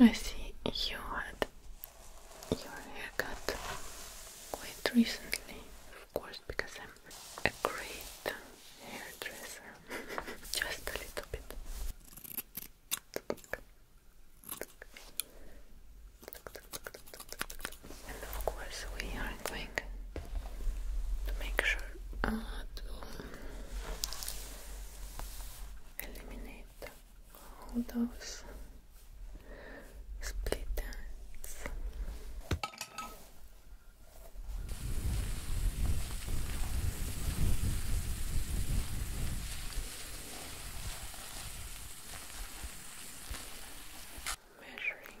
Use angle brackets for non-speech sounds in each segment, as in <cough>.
I see you had your haircut quite recently, of course, because I'm a great hairdresser. <laughs> Just a little bit. And of course, we are going to make sure uh, to eliminate all those split ends. Measuring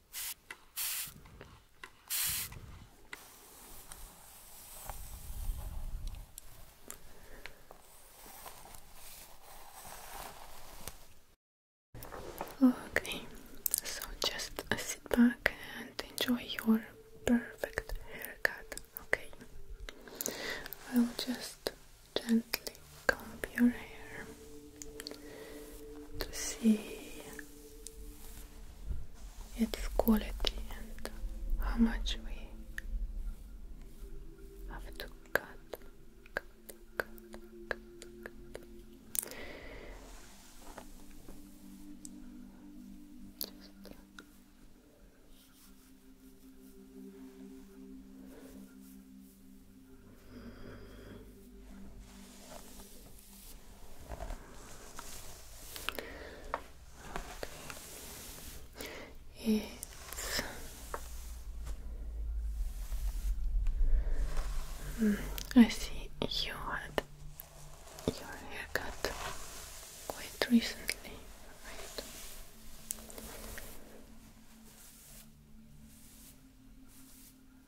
Okay, so just sit back and enjoy your perfect haircut. Okay, I'll just gently comb your hair to see its quality and how much we have to cut, Okay. Mm, I see you had your haircut quite recently, right?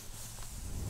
Just starting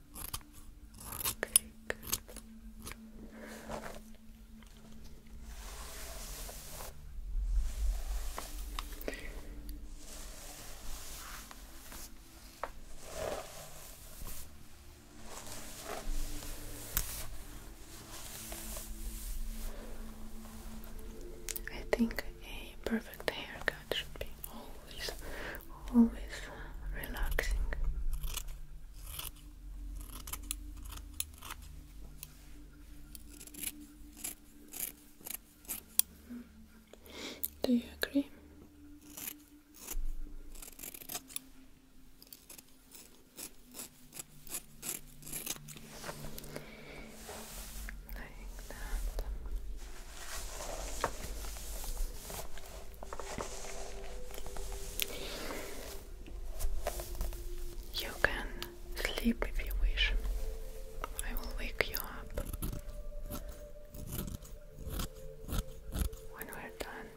I think a perfect haircut should be always always relaxing. Do you agree? Like that. You can sleep if you wish. I will wake you up when we're done.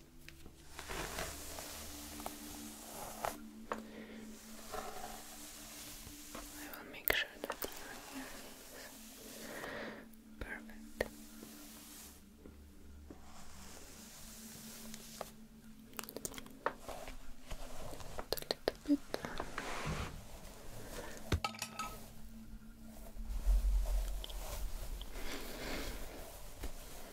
I will make sure that your perfect. A little bit.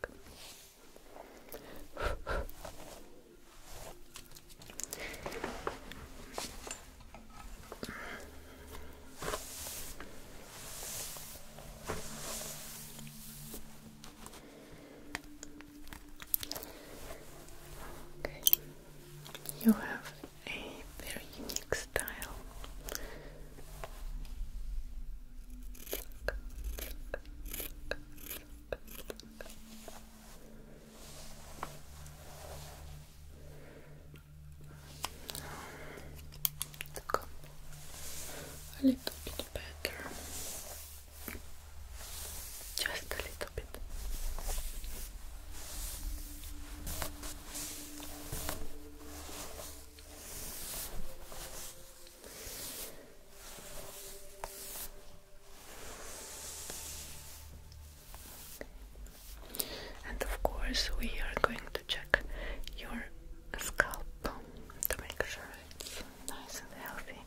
back. You have a very unique style. Come a little bit better. Just a little bit. And of course, we are going to check your scalp to make sure it's nice and healthy.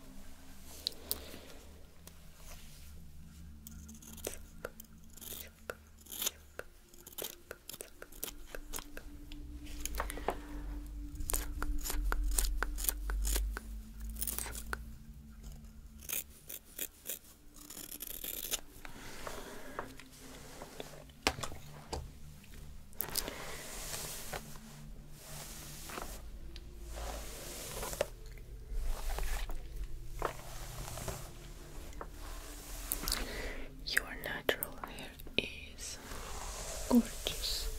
Your natural hair is gorgeous,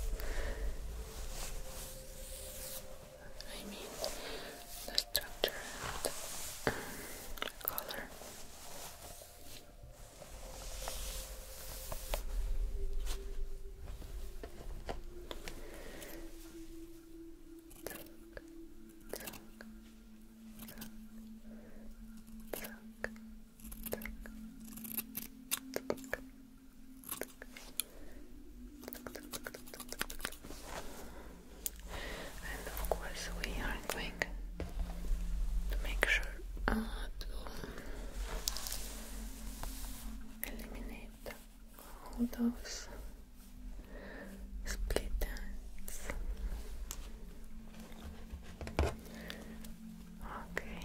I mean, the structure and um, color. Tuck, tuck, tuck, and of course, we are going to make sure uh, to eliminate all those split Okay.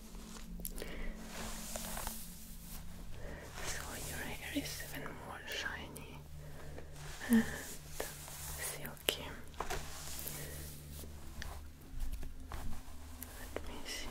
So your hair is even more shiny and silky. Let me see.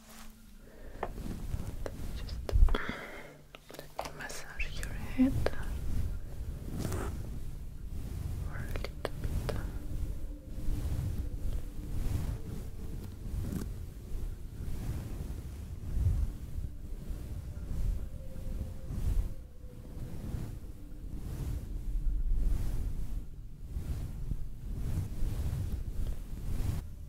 Just let massage your head a little bit.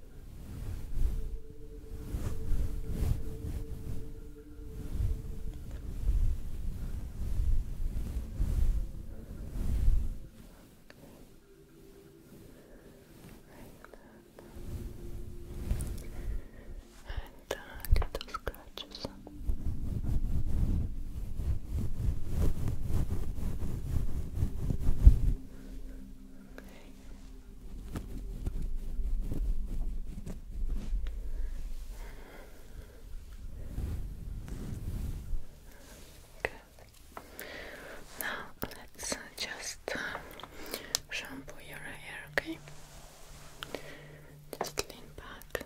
And uh, little scratches. Okay. Good. Now let's just uh, shampoo your hair, okay? Just lean back.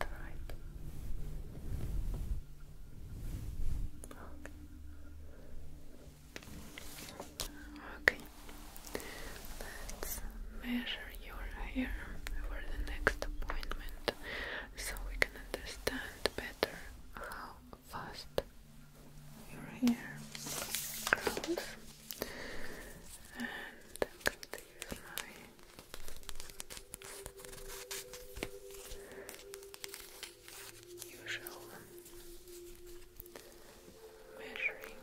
tribe. okay, let's measure your hair for the next appointment so we can understand better how fast your hair grows. And I'm going to use my usual measuring. Okay.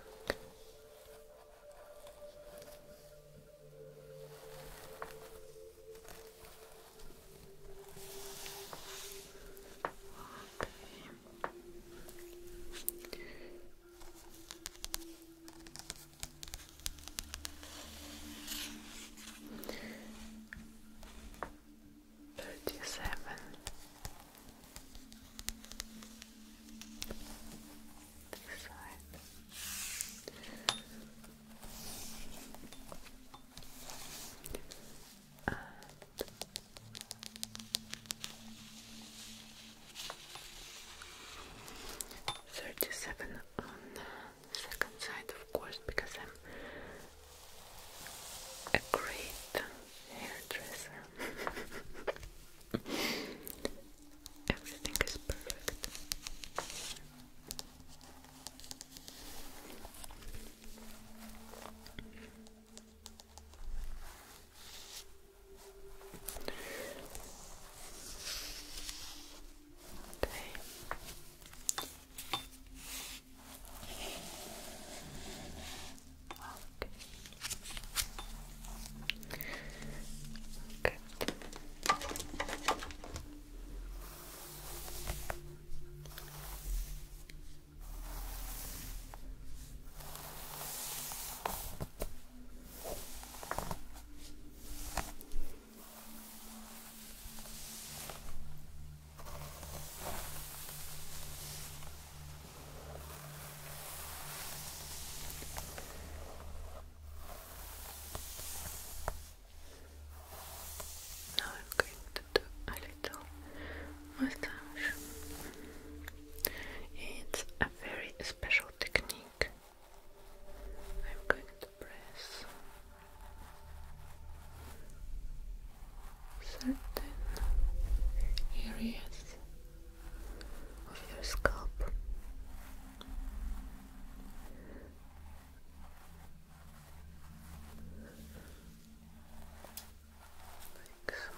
Thirty-seven, this 37 on the second side, of course, because I'm a great hairdresser. <laughs> Everything is perfect. Okay. Okay. Good. Okay. Now I'm going to do a little It's a very special technique I'm going to press certain areas of your scalp. Like so.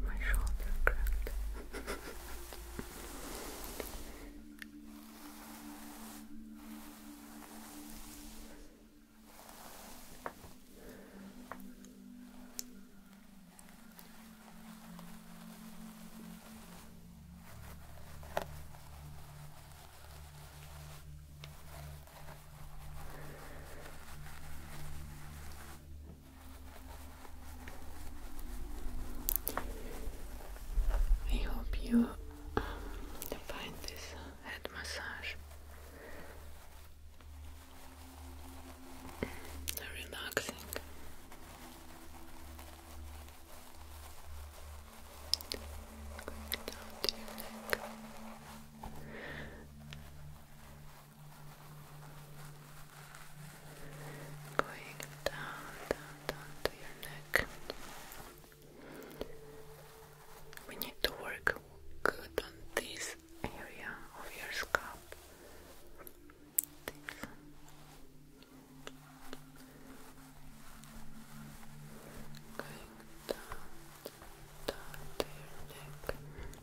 My shoulder cracked. I hope you um, find this uh, head massage relaxing. Going down down, down, to your neck. We need to work good on this area of your scalp. Going down, down to your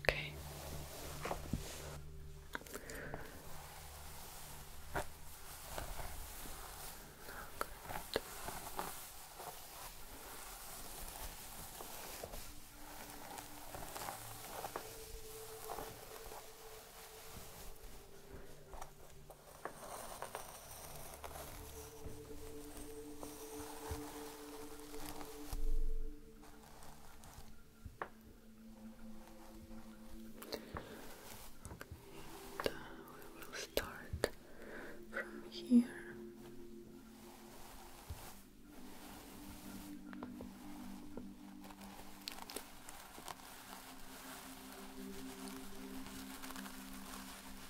Okay. Not good and uh, we will start from here.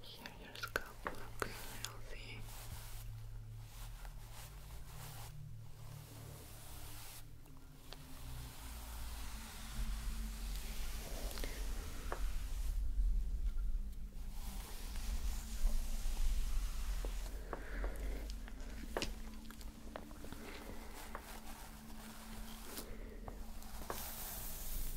Here your scalp looks healthy.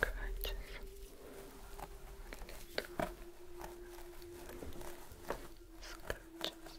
Crunches. Little scratches.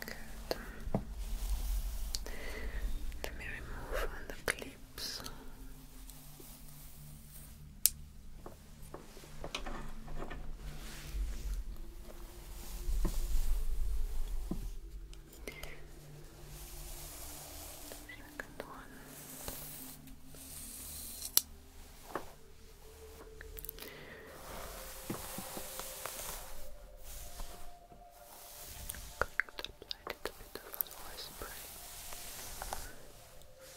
Good. Let me remove the clips. Second one. Going to apply a little bit of a spray. Okay.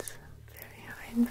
It's very hydrating.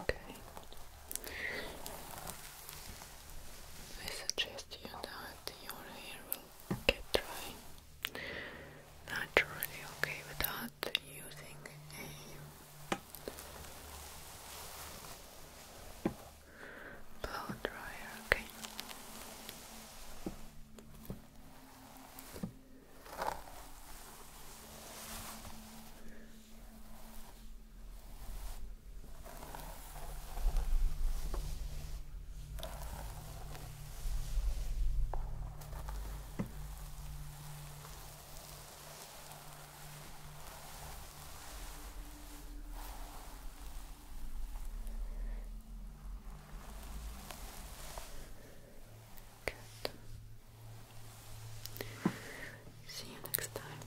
Okay. I suggest you that your hair will get dry naturally, okay, without using a blow dryer, okay? Good. See you next time.